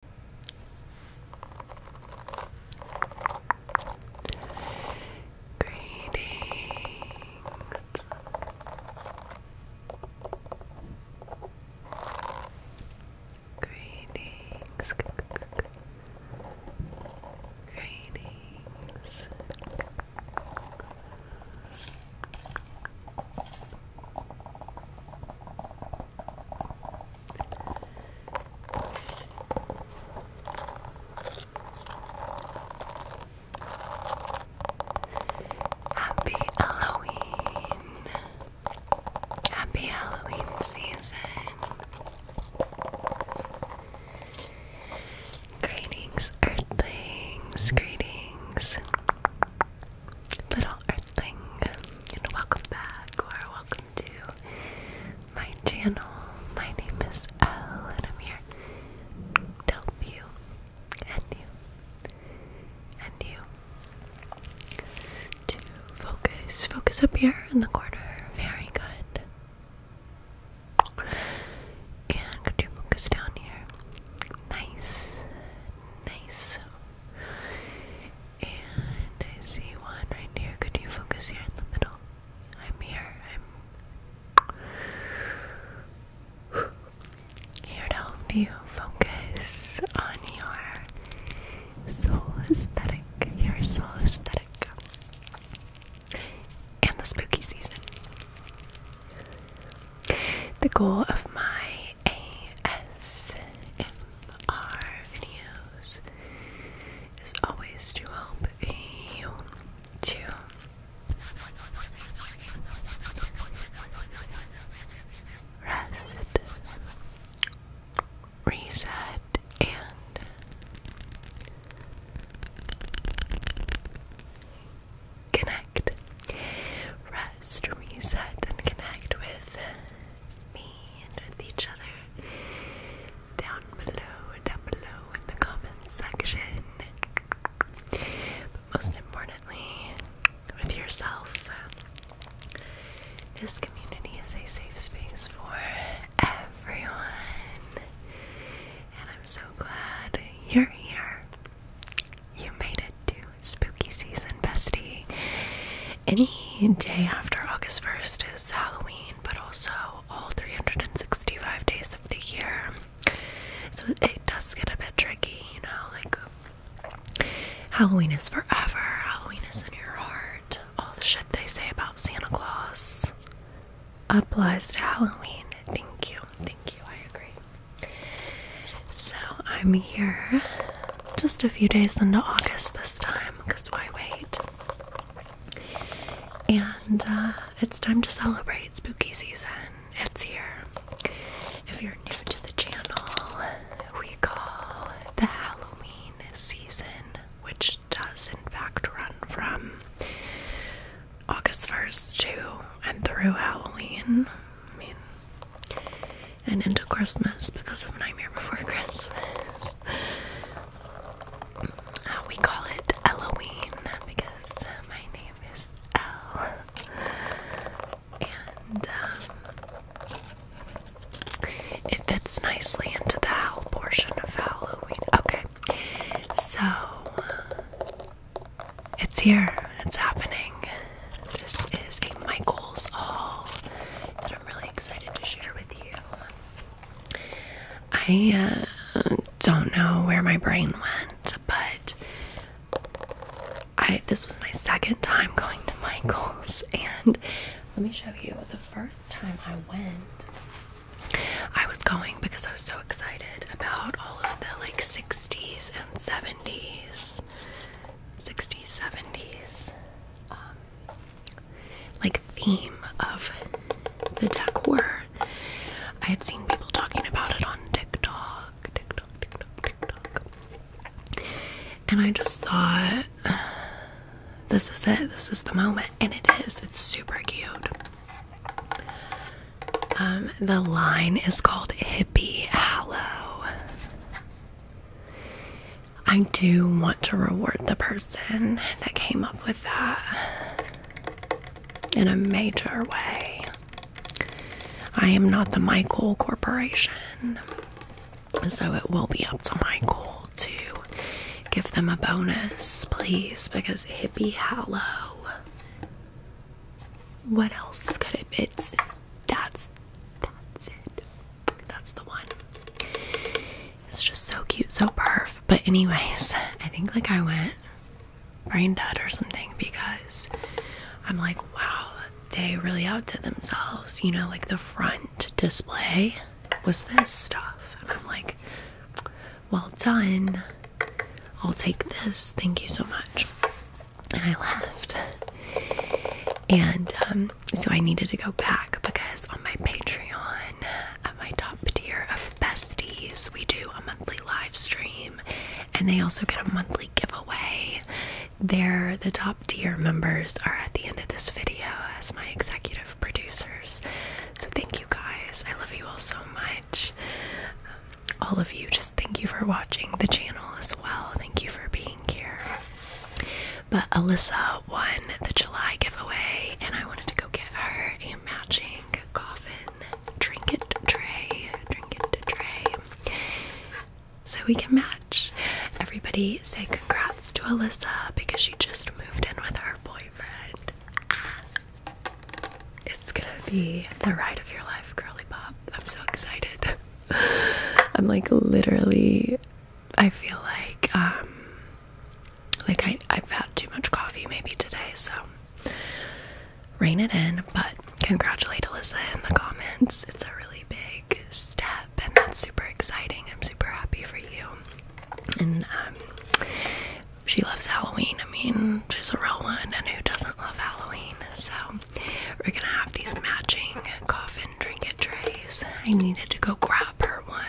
Greetings. Greetings. Greetings. Happy Halloween! Happy Halloween season! Greetings, Earthlings! Greetings! little earthling, and welcome back or welcome to my channel. My name is Elle, and I'm here to help you and you and you to focus. Focus up here in the corner. Very good. And could focus down here? Nice, nice. And I see one right here. Could you focus here in the middle? I'm here. I'm here to help you focus on your soul aesthetic. Your soul aesthetic. And the spooky season. The goal of my ASMR videos is always to help you to rest, reset, and connect. Rest, reset, and connect with me and with each other down below, down below in the comments section. But most importantly, with yourself. This community is a safe space for everyone. And I'm so glad you're here. You made it to spooky season, bestie. Any day after August 1st is Halloween, but also all 365 days of the year. So it does get a bit tricky, you know, like Halloween is forever, Halloween is in your heart. All the shit they say about Santa Claus applies to Halloween. Thank you, thank you, I agree. So I'm here just a few days into August this time because why wait? And uh, it's time to celebrate spooky season. It's here. If you're new to the channel, we call the Halloween season, which does in fact run from August 1st to and through Halloween and into Christmas because of Nightmare Before Christmas. Uh, we call it Halloween because uh, my name is Elle. And um, it fits nicely into the Hal portion of Halloween. Okay, so uh, it's here, it's happening. This is a Michael's Hall I'm really excited to share with you. I uh, don't know where my brain went, but I this was my second time going to Michael's, and let me show you. The first time I went, I was going because I was so excited about all of the like 60s and 70s. 60s, 70s um, like theme of the decor. I had seen people talking about it on TikTok, TikTok, TikTok, TikTok, and I just thought, this is it. This is the moment, and it is. It's super cute. Um, the line is called Hippie Hallow. I do want to reward the person that came up with that in a major way. I am not the Michael Corporation, so it will be up to Michael to give them a bonus, please, because Hippie Hallow. What else could it be? that's, that's it. That's the one. It's just so cute, so perf. But anyways, I think like I went brain dead or something because I'm like, wow, they really outdid themselves. You know, like the front display was this stuff. And I'm like, well done. I'll take this. Thank you so much and I left. And um, so I needed to go back because on my Patreon, at my top tier of besties, we do a monthly live stream and they also get a monthly giveaway. They're the top tier members are at the end of this video as my executive producers. So thank you guys. I love you all so much. Um, all of you, just thank you for watching the channel as well. Thank you for being but Alyssa won the July giveaway, and I wanted to go get her a matching coffin trinket tray. Trinket tray. So we can match. Everybody say congrats to Alyssa because she just moved in with her boyfriend. It's gonna be the ride of your life, Curly bob. I'm so excited. I'm like literally I feel like um, like I I've had too much coffee maybe today, so rein it in, but congratulate Alyssa in the comments. It's a really big step and that's super exciting. I'm super happy for you. And um, she loves Halloween. I mean, she's a real one and who doesn't love Halloween? So we're gonna have these matching coffin trinket trays. I needed to go grab her one.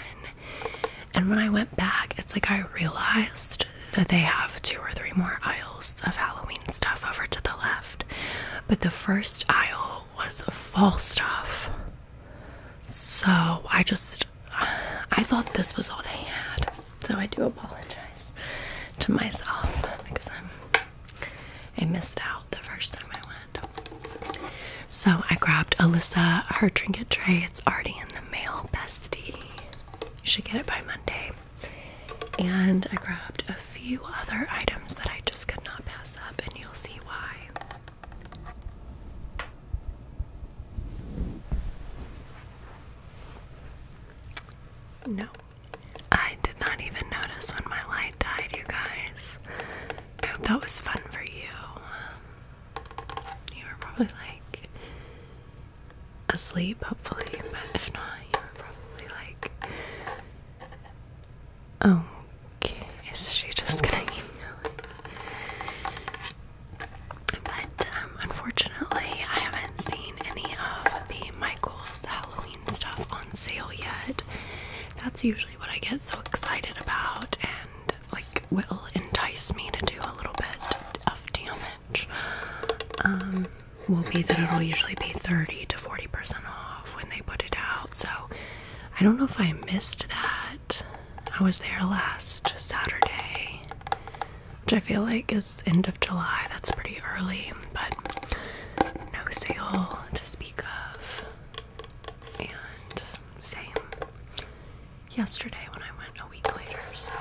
And when I went back, it's like I realized that they have two or three more aisles of Halloween stuff over to the left. But the first aisle was fall stuff. So I just, I thought this was all they had. So I do apologize to myself because I missed out the first time I went. So I grabbed Alyssa her trinket tray. It's already in the mail, bestie. You should get it by Monday. And I grabbed a few other items that I just could not pass up, and you'll see why. No, I did not even notice when my light died, you guys. I hope that was fun for you. you were probably like asleep, hopefully, but if not, you were probably like, oh, okay, is she just gonna keep going? But um, unfortunately, I haven't seen any of the Michael's Halloween stuff on sale yet. That's usually what I get so excited about and like will entice me to do a little bit of damage. Um, will be that it'll usually be 30 to 40% off when they put it out. So I don't know if I missed that. I was there last Saturday, which I feel like is end of July. That's pretty early, but no sale. Just yesterday when I went a week later. So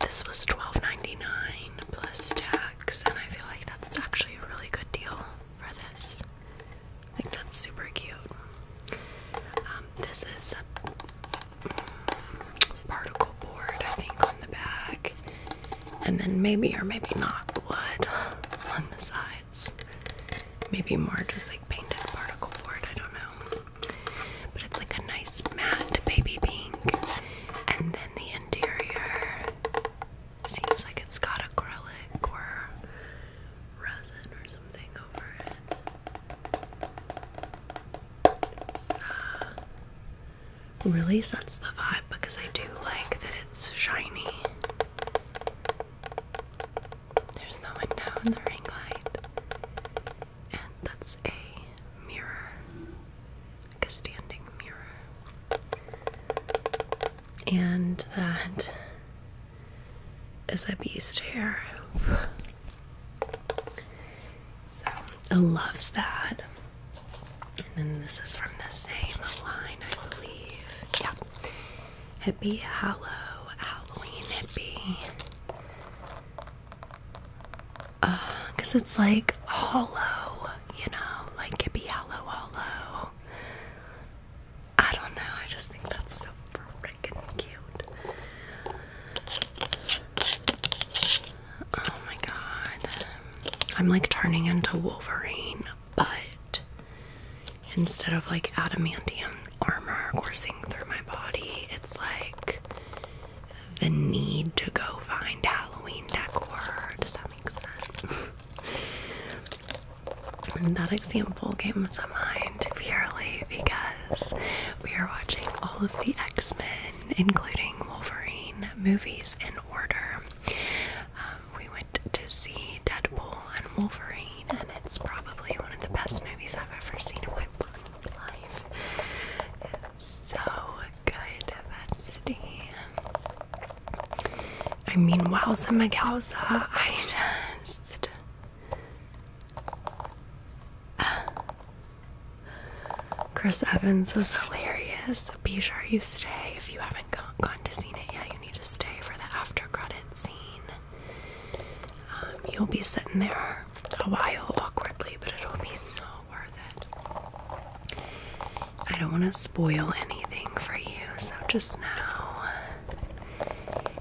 this was $12.99 plus tax, and I feel like that's actually a really good deal for this. I think that's super cute. Um, this is a mm, particle board, I think, on the back and then maybe or maybe not wood on the sides. Maybe more just like painted particle board, I don't know. But it's like a nice matte baby pink. And then the interior seems like it's got acrylic or resin or something over it. It's, uh, really sets the vibe because I do like that it's shiny. There's the window in the ring light. And that's a mirror. Like a standing mirror. And that is a beast hair. So, loves that. And then this is from the same line, I believe. Yeah. Hippie Hallow, Halloween Hippie. Uh, Cause it's like hollow, you know, like Hippie Hallow Hollow. I don't know, I just think that's so freaking cute. Oh my god. I'm like turning into Wolverine, but instead of like adamantium armor coursing through my body, it's like the need to go find Halloween decor. Does that make sense? that example came to mind purely because we are watching all of the X Men, including Wolverine movies in order we went to see Deadpool and Wolverine, and it's probably one of the best movies I've ever seen in my life. It's so good, Betsy. I mean, wowza magowza, I just... Chris Evans was hilarious. Be sure you stay if you haven't gone to seen it yet, you need to stay for the after credit scene. Um, you'll be sitting there a while awkwardly, but it'll be so worth it. I don't want to spoil anything for you, so just now.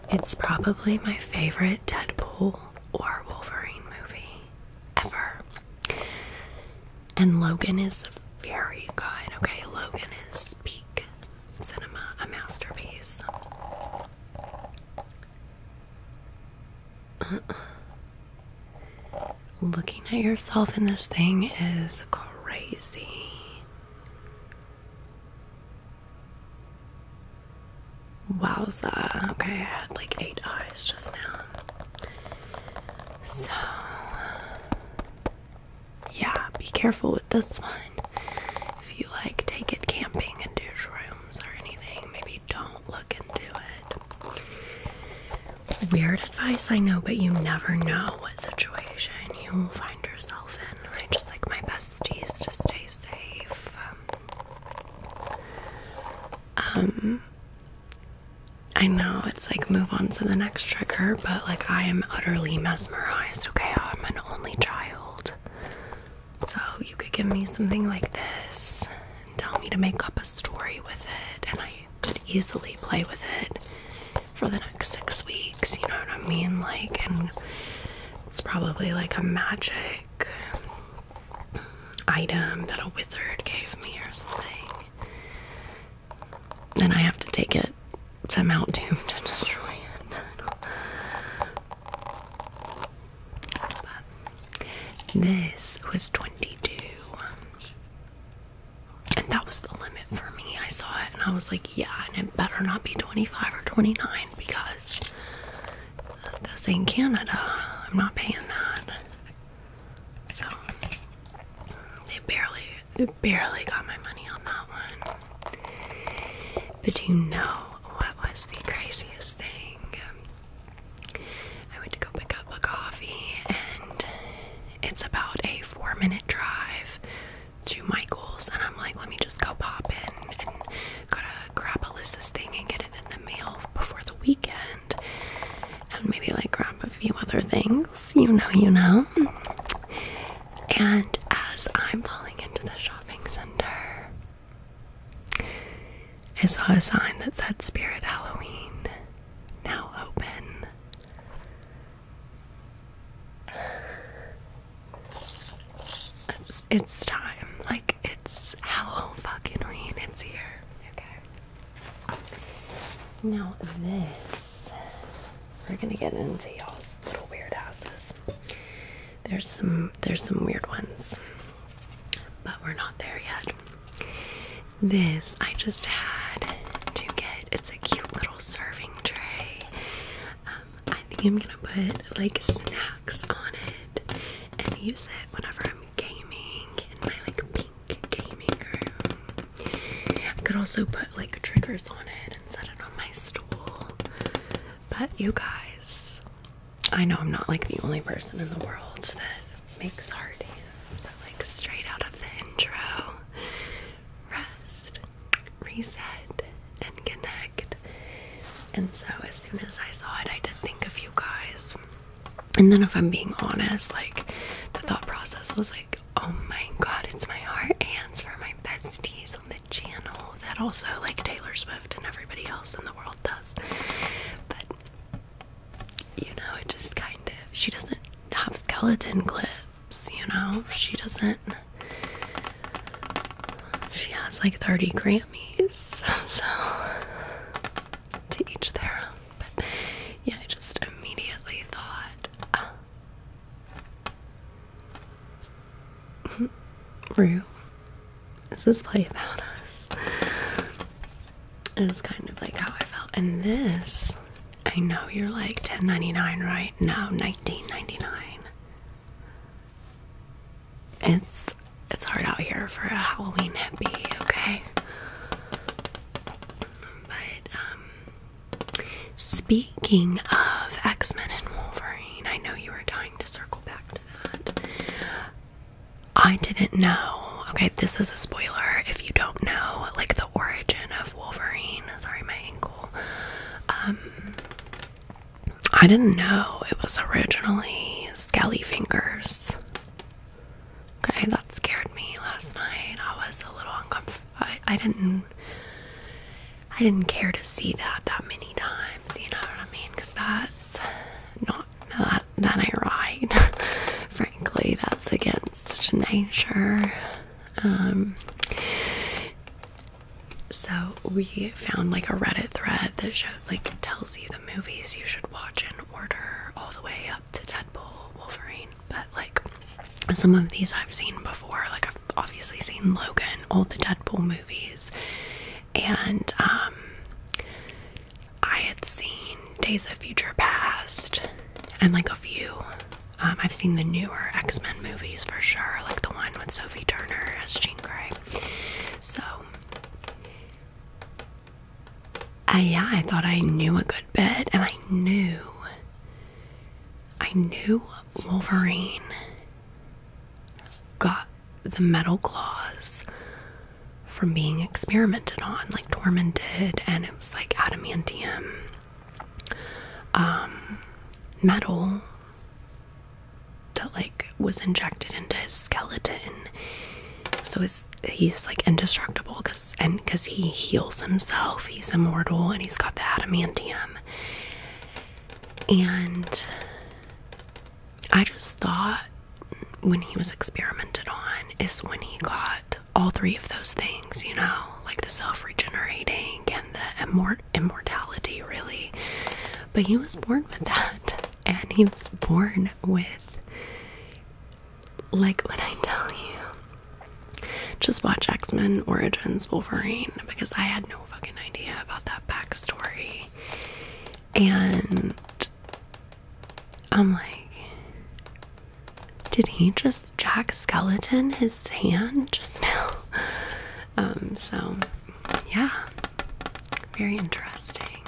It's probably my favorite Deadpool or Wolverine movie ever. And Logan is very good. Okay, Logan is peak cinema, a masterpiece. Looking at yourself in this thing is crazy. Wowza. Okay, I had like eight eyes just now. So, yeah, be careful with this one. If you like take it camping and do shrooms or anything, maybe don't look into it. Weird advice, I know, but you never know what situation you will find yourself in. I just like my besties to stay safe. um, um I know it's like move on to the next trigger, but like I am utterly mesmerized. Okay, I'm an only child. So you could give me something like this and tell me to make up a story with it, and I could easily play with it for the next six weeks. You know what I mean? Like, and it's probably like a magic item that a wizard gave me or something and I have to take it somehow Doom to destroy it. But this was 22, and that was the limit for me. I saw it and I was like, yeah, and it better not be 25 or 29 because this in Canada. I'm not paying that. So they barely they barely got my money on that one. But do you know what was the craziest thing? I went to go pick up a coffee and it's about a four minute drive to Michael's and I'm like, let me just go pop in and gotta grab Alyssa's thing and get it in the mail before the weekend and maybe like grab a few other things, you know, you know. And as I'm falling into the shopping center, I saw a sign that said Spirit Halloween now open. It's, time. Like it's Halloween It's here. Now this, we're gonna get into y'all's little weird houses. There's some there's some weird ones, but we're not there yet. This I just had to get. It's a cute little serving tray. Um, I think I'm gonna put like snacks on it and use it whenever I'm gaming and my like pink gaming room. I could also put like triggers on it and set it on my stool. But you guys, I know I'm not like the only person in the world that makes hard hands, but like straight out of the intro, rest, reset, and connect. And so as soon as I saw it, I did think of you guys. And then, if I'm being honest, like the thought process was like, oh my god, it's my heart and it's for my besties on the channel that also like Taylor Swift and everybody else in the world does. But you know, it just kind of she doesn't have skeleton clips, you know, she doesn't. She has like 30 Grammys, so to each their own. But yeah, I just immediately thought, ah. Rue, is this play about us? Is kind of like how I felt. And this, I know you're like 10.99, right? No, 19.99. It's it's hard out here for a Halloween hippie, okay? But um, speaking of X-Men and Wolverine, I know you were dying to circle back to that. I didn't know. Okay, this is a spoiler if you don't know like the origin of Wolverine. Sorry, my ankle. Um I didn't know it was originally Skelly Fingers. Okay, that scared me last night. I was a little uncomfortable. I, didn't I didn't care to see that that many times, you know what I mean? Cuz that's not that that I ride. Frankly, that's against nature. Um so we found like a Reddit thread that showed like tells you the movies you should watch in order all the way up to Deadpool, Wolverine, but like some of these I've seen before. Like I've obviously seen Logan, all the Deadpool movies, and um, I had seen Days of Future Past and like a few. Um, I've seen the newer X Men movies for sure, like the one with Sophie Turner as Jean Grey. So I, yeah, I thought I knew a good bit, and I knew. I knew Wolverine got the metal claws from being experimented on, like did, and it was like adamantium um, metal that like was injected into his skeleton, so his he's like indestructible because and because he heals himself he's immortal and he's got the adamantium and i just thought when he was experimented on is when he got all three of those things you know like the self-regenerating and the immortality really but he was born with that and he was born with like when I tell you, just watch X Men Origins Wolverine because I had no fucking idea about that backstory. And I'm like, did he just Jack Skeleton his hand just now? Um, so yeah, very interesting.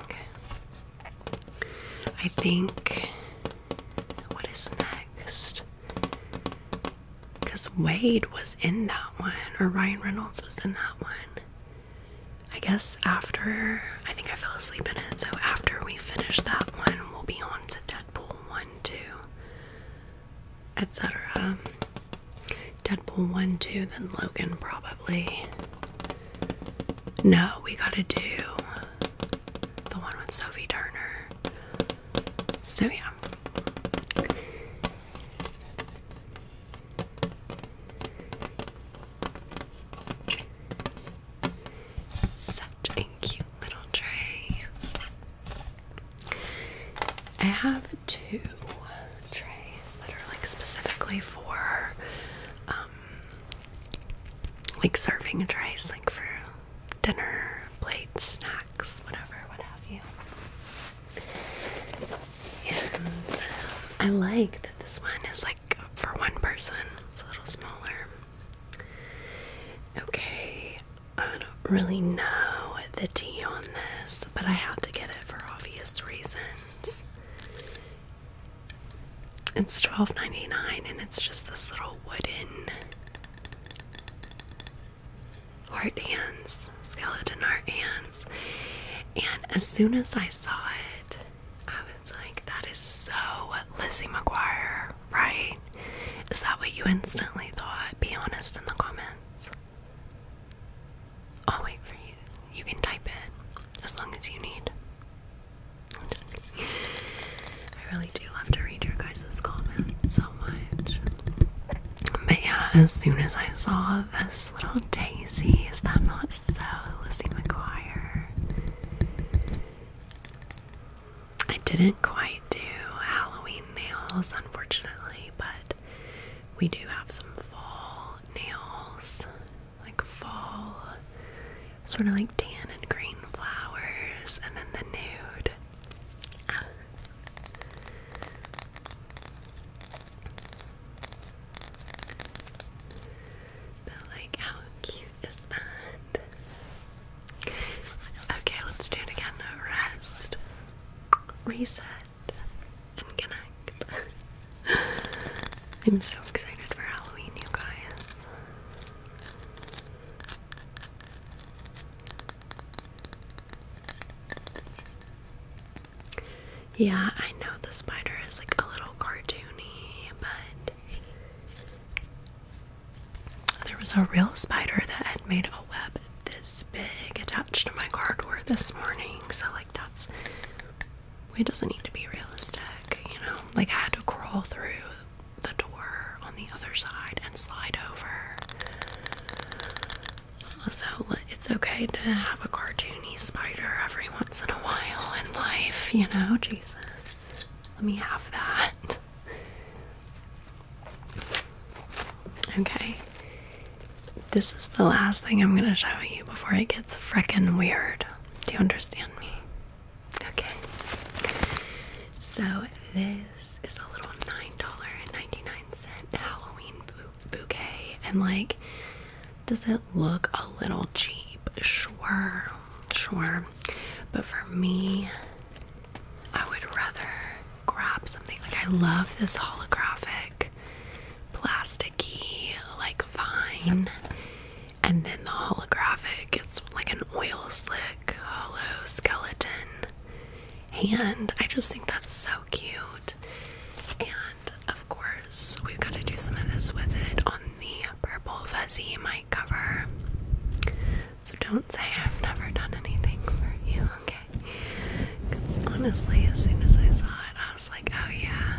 I think what is next? Because Wade was in that one, or Ryan Reynolds was in that one. I guess after I think I fell asleep in it, so after we finish that one, we'll be on to Deadpool 1, 2, etc. Deadpool 1, 2, then Logan probably. No, we gotta do the one with Sophie Turner. So, yeah. Such a cute little tray. I have two trays that are like specifically for um, like serving trays, like for dinner, plates, snacks, whatever, what have you. And uh, I like that this one is like for one person, it's a little smaller. Okay, I don't really know the tea on this, but I had to get it for obvious reasons. It's $12.99 and it's just this little wooden heart hands, skeleton heart hands. And as soon as I saw it, I was like, that is so Lizzie McGuire, right? Is that what you instantly thought? Be honest in the comments. I'll wait for you. You can type it as long as you need. I really do love to read your guys' comments so much. But yeah, as soon as I saw this little daisy, is that not so, Lizzie McGuire? I didn't quite do Halloween nails, unfortunately, but we do have some fall nails like fall, sort of like tan and green flowers, and then the nude. Ah. But like, how cute is that? Okay, let's do it again. Rest, reset, and connect. I'm so excited for Halloween, you guys. Yeah, I know the spider is like a little cartoony, but there was a real spider that had made a web this big attached to my cardboard this morning. So, like, that's it doesn't need to be realistic, you know? Like, I had to crawl through the door on the other side and slide over. So it's okay to have a cartoony spider every once in a while in life, you know? Jesus. Let me have that. Okay. This is the last thing I'm going to show you before it gets frickin' weird. Do you understand me? Okay. So this is a little $9.99 Halloween bouquet. And like, does it look a little cheap? Sure, sure. But for me, I would rather grab something. Like, I love this holographic, plasticky, like vine. And then the holographic, it's like an oil slick hollow skeleton hand. I just think that's so cute. And of course, we've got to do some of this with it on the purple fuzzy mic cover. So don't say I've never done anything for you, okay? Because honestly, as soon as I saw it, I was like, oh yeah,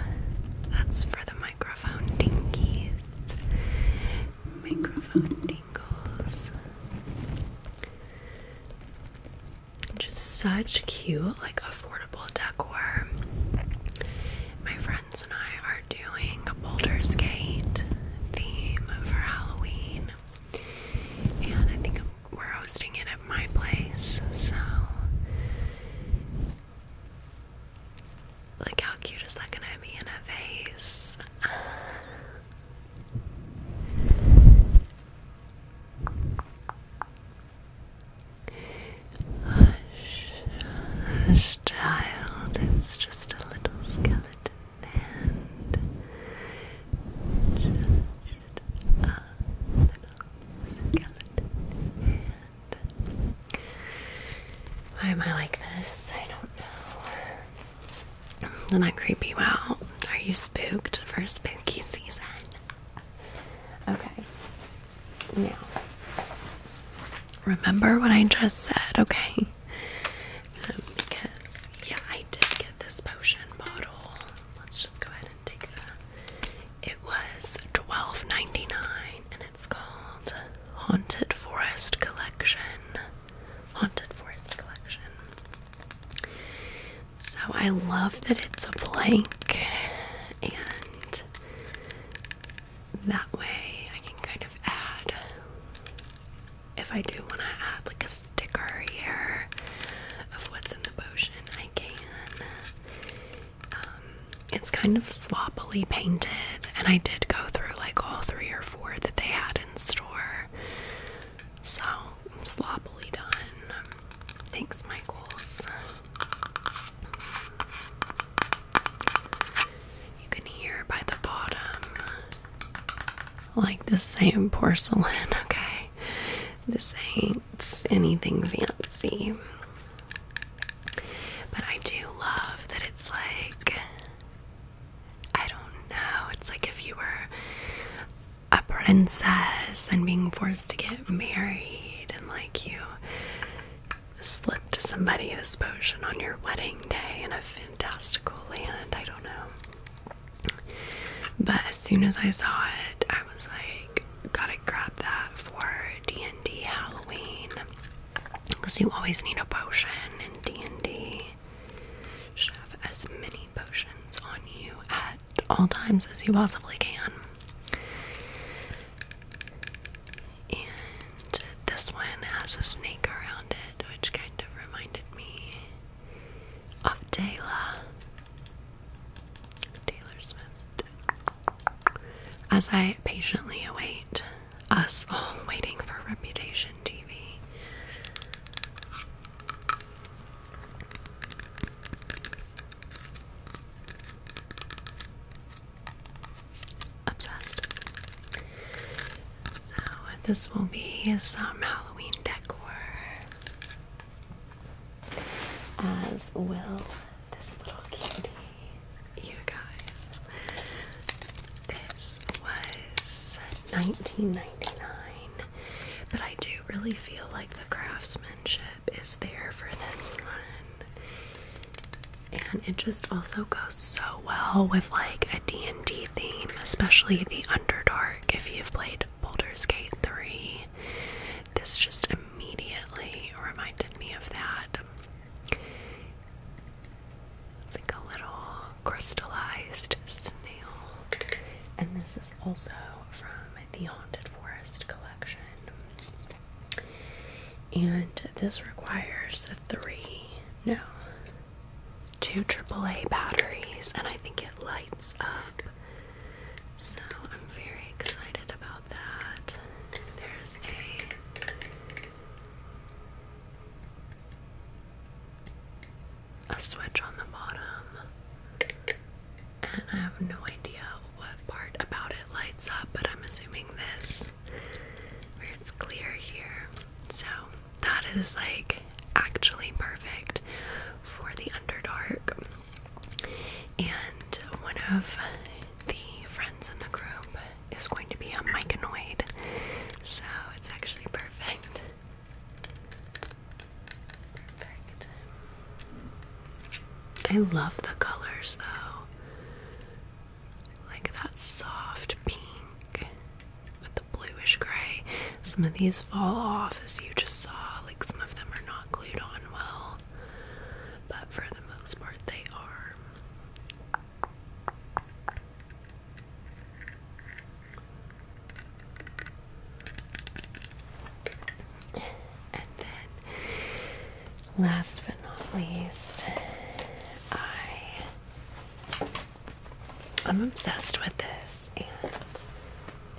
that's for the mic microphone dingies, microphone dingles. Just such cute, like affordable decor. My friends and I are doing a boulder skate theme for Halloween, and I think we're hosting it at my place. So Look how cute is that gonna be in a vase? Hush, child, it's just a little skeleton hand. Just a little skeleton why am I like this? I don't know. Did that creep you out? Are you spooked for spooky season? Okay. Now, remember what I just said, okay? Um, because, yeah, I did get this potion bottle. Let's just go ahead and take that. It was $12.99 it's called Haunted Forest Collection. Haunted Forest Collection. So I love that it's a blank, and that way I can kind of add if I do want to add like a sticker here of what's in the potion, I can. Um, it's kind of sloppily painted, and I did go through like all three or four that they had in store. So, sloppily done. Thanks, Michaels. You can hear by the bottom like the same porcelain, okay? This ain't anything fancy. But I do love that it's like I don't know, it's like if you were a princess and being forced to get married and like you slipped somebody this potion on your wedding day in a fantastical land. I don't know. But as soon as I saw it, I was like, gotta grab that for D&D Halloween because you always need a potion in D&D. Should have as many potions on you at all times as you possibly can. And this one has a snake around it, which kind of reminded me of Taylor. Taylor Swift. As I patiently await us all waiting for Reputation TV. Obsessed. So, this will be some Halloween decor, as will this little cutie you guys. This was 19.99, but I do really feel like the craftsmanship is there for this one. And it just also goes so well with like a D&D theme, especially the Underdark if you've played Baldur's Gate 3. This just immediately reminded me of that. It's like a little crystallized snail. And this is also from the Haunted Forest collection. And this requires three, no, two AAA batteries, and I think it lights up. So I'm very excited about that. There's a a switch on the bottom, and I have no idea what part about it lights up, but I'm assuming this, where it's clear here. So that is like actually perfect for the Underdark. And one of the friends in the group is going to be a myconoid, so it's actually perfect. Perfect. I love the colors though. Like that soft pink with the bluish gray. Some of these fall off as you just saw, like some of them are not glued on well, but for the most part, they are. And then, last but not least, I I'm obsessed with this, and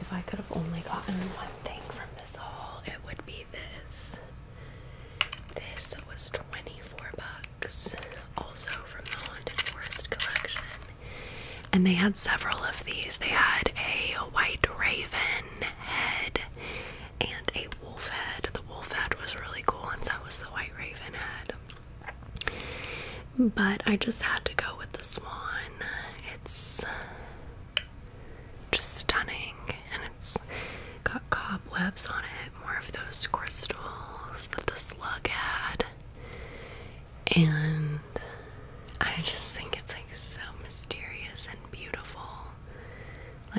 if I could have only gotten one thing from this haul, it would be this. This was 24 bucks, also from the Haunted Forest collection. And they had several of these. They had a white raven head and a wolf head. The wolf head was really cool, and so was the white raven head. But I just had to go with the swan. It's just stunning, and it's got cobwebs on it, more of those crystals that the slug had. And I just think it's like so mysterious and beautiful.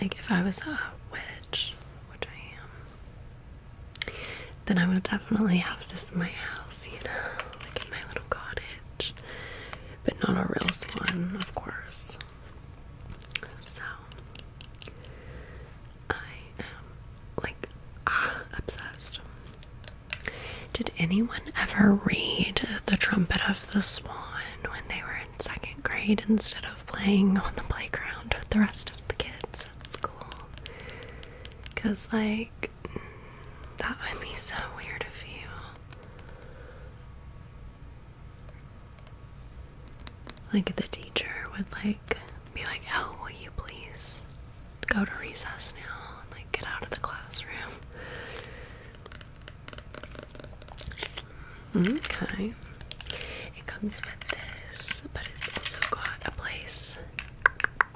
Like, if I was a witch, which I am, then I would definitely have this in my house, you know, like in my little cottage. But not a real swan, of course. So I am like ah, obsessed. Did anyone ever read The Trumpet of the Swan when they were in second grade instead of playing on the playground with the rest of the kids at school? Because, like, mm, that would be so weird if you like the teacher would like be like, "Oh, will you please go to recess now and like get out of the classroom?" Mm-hmm. Okay. It comes with this, but it's also got a place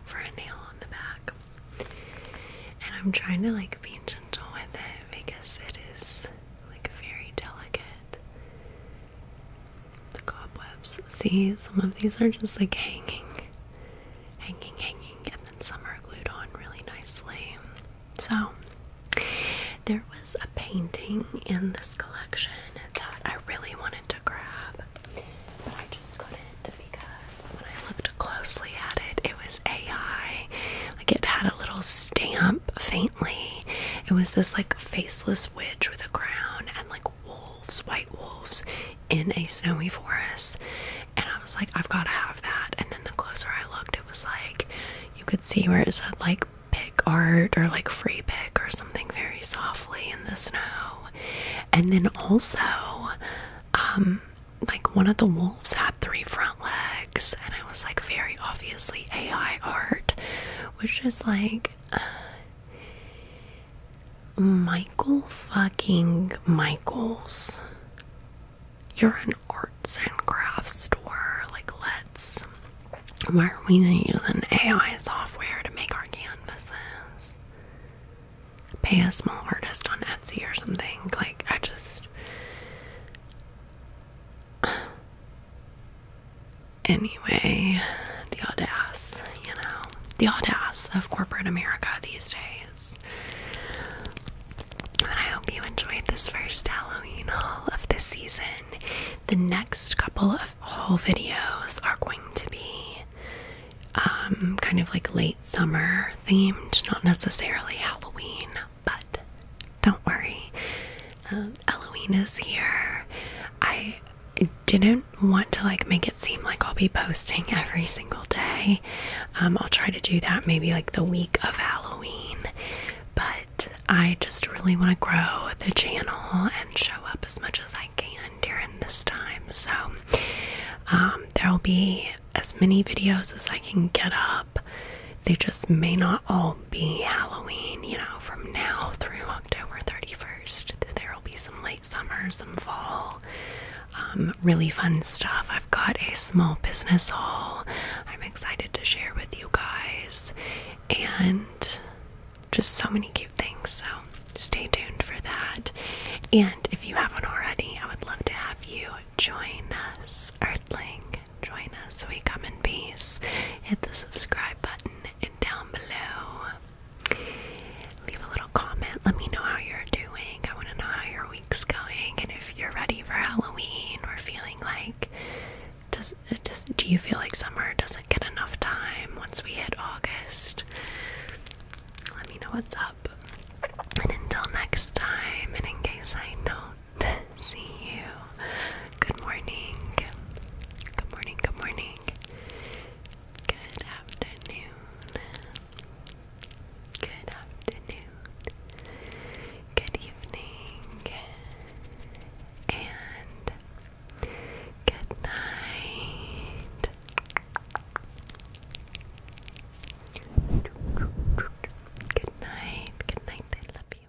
for a nail on the back. And I'm trying to like be gentle with it because it is like very delicate. The cobwebs. See, some of these are just like hanging, hanging, hanging, and then some are glued on really nicely. So, there was a painting in this collection that I really wanted to grab, but I just couldn't because when I looked closely at it, it was AI like it had a little stamp faintly. It was this like faceless witch with a crown and like wolves, white wolves in a snowy forest. And I was like, I've got to have that. And then the closer I looked, it was like you could see where it said like pick art or like free pick or something very softly in the snow. And then also, um, like one of the wolves had three front legs and it was like very obviously AI art, which is like uh, Michael fucking Michaels. You're an arts and crafts store. Like, let's. Why are we using AI software to make our canvases? Pay a small artist on Etsy or something. Like, I just. Anyway, the odd ass, you know, the odd ass of corporate America these days. I hope you enjoyed this first Halloween haul of the season. The next couple of haul videos are going to be um, kind of like late summer themed, not necessarily Halloween. But don't worry, um, Halloween is here. I didn't want to like make it seem like I'll be posting every single day. Um, I'll try to do that maybe like the week of Halloween, but I just really want to grow the channel and show up as much as I can during this time. So um, there'll be as many videos as I can get up. They just may not all be Halloween, you know, from now through October 31st. There'll be some late summer, some fall, um, really fun stuff. I've got a small business haul I'm excited to share with you guys, and just so many cute things. So stay tuned for that. And if you haven't already, I would love to have you join us, Earthling join us so we come in peace. Hit the subscribe button and down below. Leave a little comment. Let me know how you're doing. I want to know how your week's going and if you're ready for Halloween or feeling like does does do you feel like summer doesn't get enough time once we hit August? Let me know what's up. And until next time, and in case I don't. see you. Good morning. Good morning, good morning. Good afternoon. Good afternoon. Good evening. And good night. Good night. Good night. I love you.